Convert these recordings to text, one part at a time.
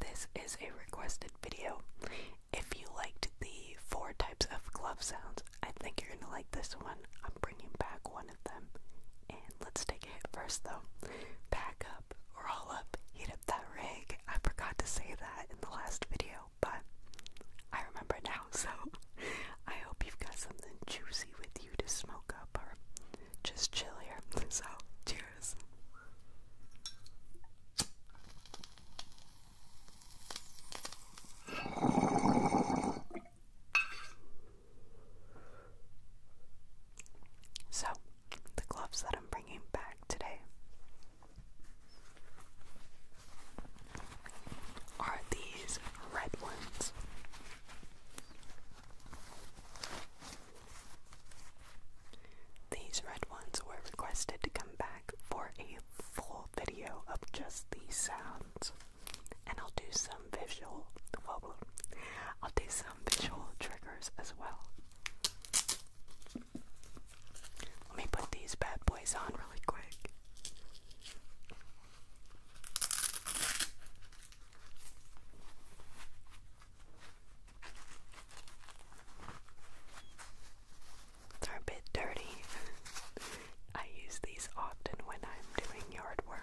This is a requested video. If you liked the four types of glove sounds, I think you're gonna like this one. I'm bringing back one of them. And let's take a hit first though. Pack up, roll up, heat up that rig. I forgot to say that in the last video, but I remember now, so I hope you've got something juicy with you to smoke up or just chill here. So, do so, the gloves that I'm bringing back today are these red ones. These red ones were requested to come back for a full video of just these sounds, and I'll do some visual. I'll do some visual triggers as well. Let me put these bad boys on really quick. They're a bit dirty. I use these often when I'm doing yard work.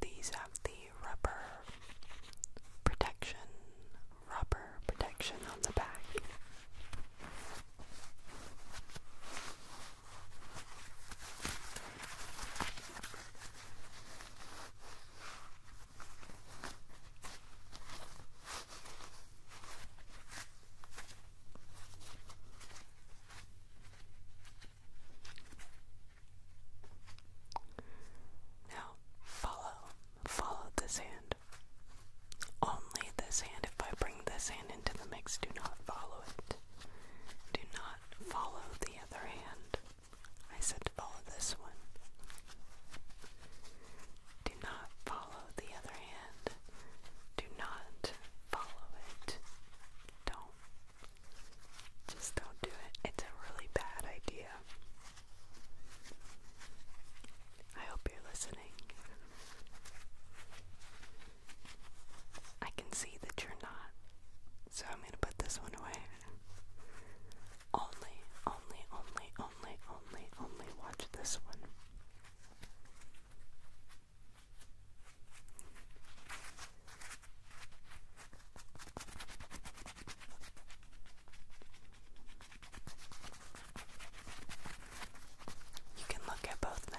These have the rubber protection, rubber protection on the back. Now follow, follow this hand. Only this hand. If I bring this hand into the mix, do not follow it. Do not follow the other hand. I said to follow this one. Do not follow the other hand. Do not follow it. Don't just don't do it. It's a really bad idea. I hope you're listening. I can see that you're not, so I'm gonna put this one away. Only, only, only, only, only, only watch this one. You can look at both now.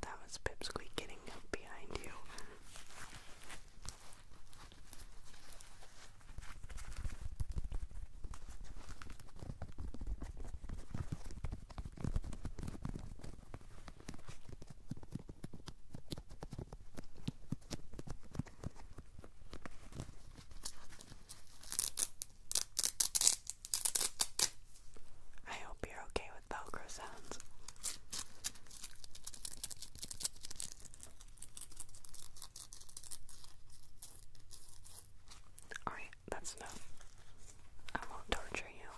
That was Pipsqueak getting up behind you. I hope you're okay with Velcro sounds. Alright, that's enough. I won't torture you.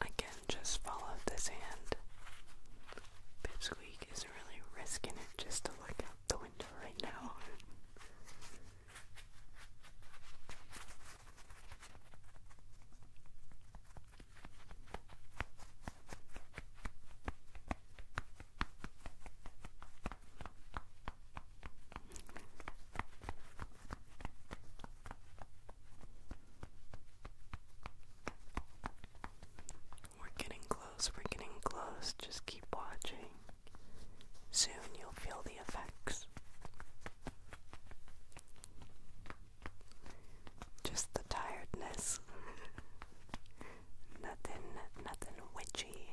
Again, just follow this hand. Pipsqueak is really risking it just to look out the window right now. We're getting close, we're getting close. Just keep watching. Soon you'll feel the effects. Just the tiredness. nothing, nothing witchy.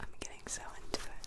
I'm getting so into it.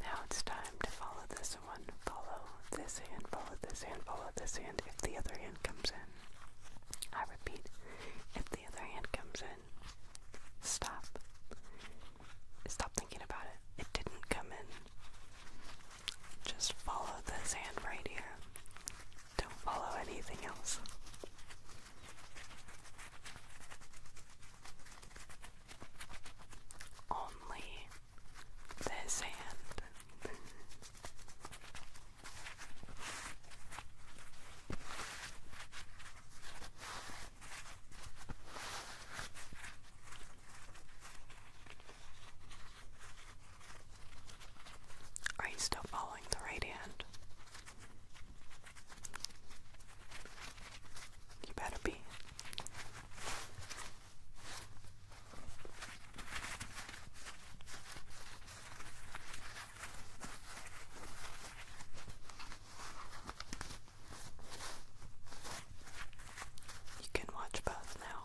Now it's time to follow this one. Follow this hand, follow this hand, follow this hand if the other hand comes in. I repeat, if the other hand comes in, stop. Stop thinking about it. It didn't come in. Just follow this hand right here. Don't follow anything else. Only this hand. Are you still following the right hand? You better be. You can watch both now.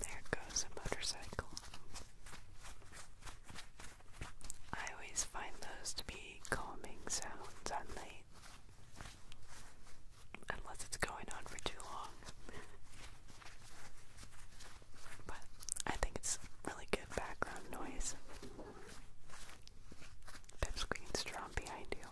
There goes a motorcycle. I always find those to be calming sounds at night. Unless it's going on for too long. but I think it's really good background noise. Pipsqueak's drawn behind you.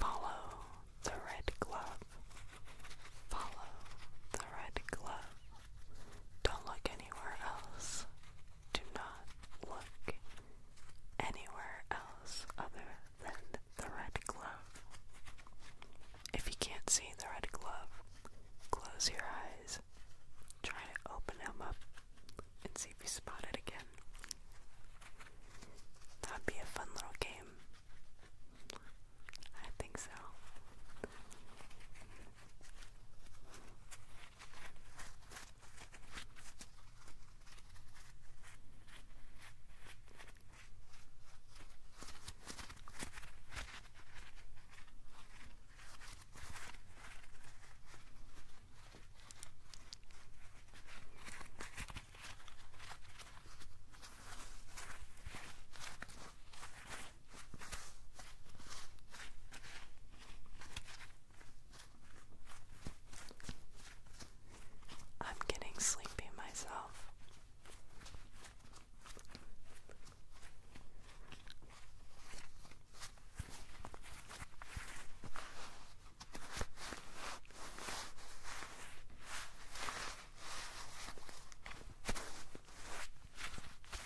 Follow the red glove Follow the red glove. Don't look anywhere else. Do not look anywhere else other than the red glove. If you can't see the red glove, close your eyes. Try to open them up and see if you spot it again. That'd be a fun little game. I think so. I'm getting sleepy myself.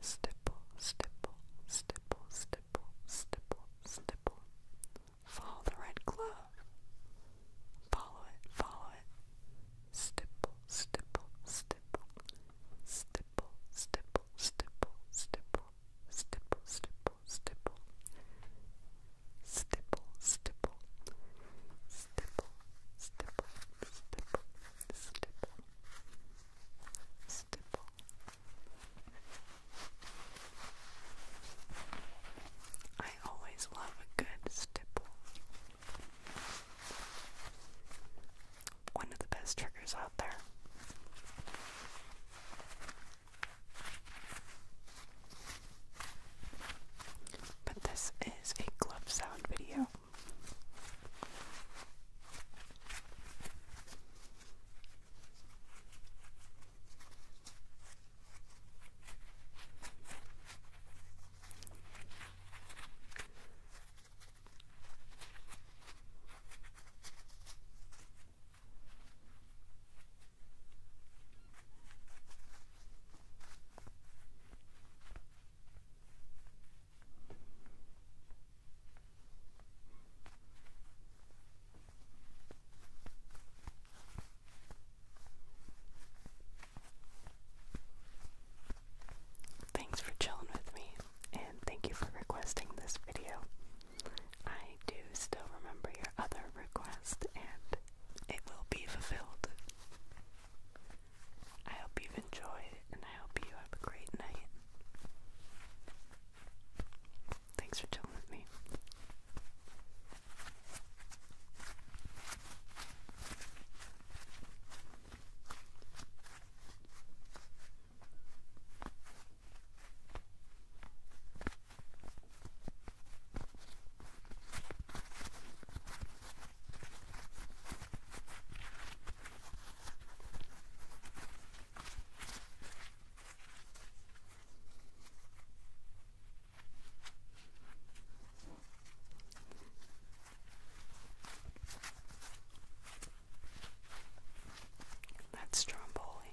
Stipple, stipple, stipple, stipple, stipple, stipple. Follow the red glove. Follow it, follow it. Stipple, stipple, stipple. Stipple, stipple, stipple, stipple. Stipple, stipple, stipple, stipple, stipple, stipple, stipple, stipple, stipple. I always love a good stipple. One of the best triggers out there. But this is a glove sound video. Thanks for chilling with me, and thank you for requesting this video. I do still remember your other request, and it will be fulfilled. I hope you've enjoyed and I hope you have a great night. Thanks for chilling with me. That's stromboli.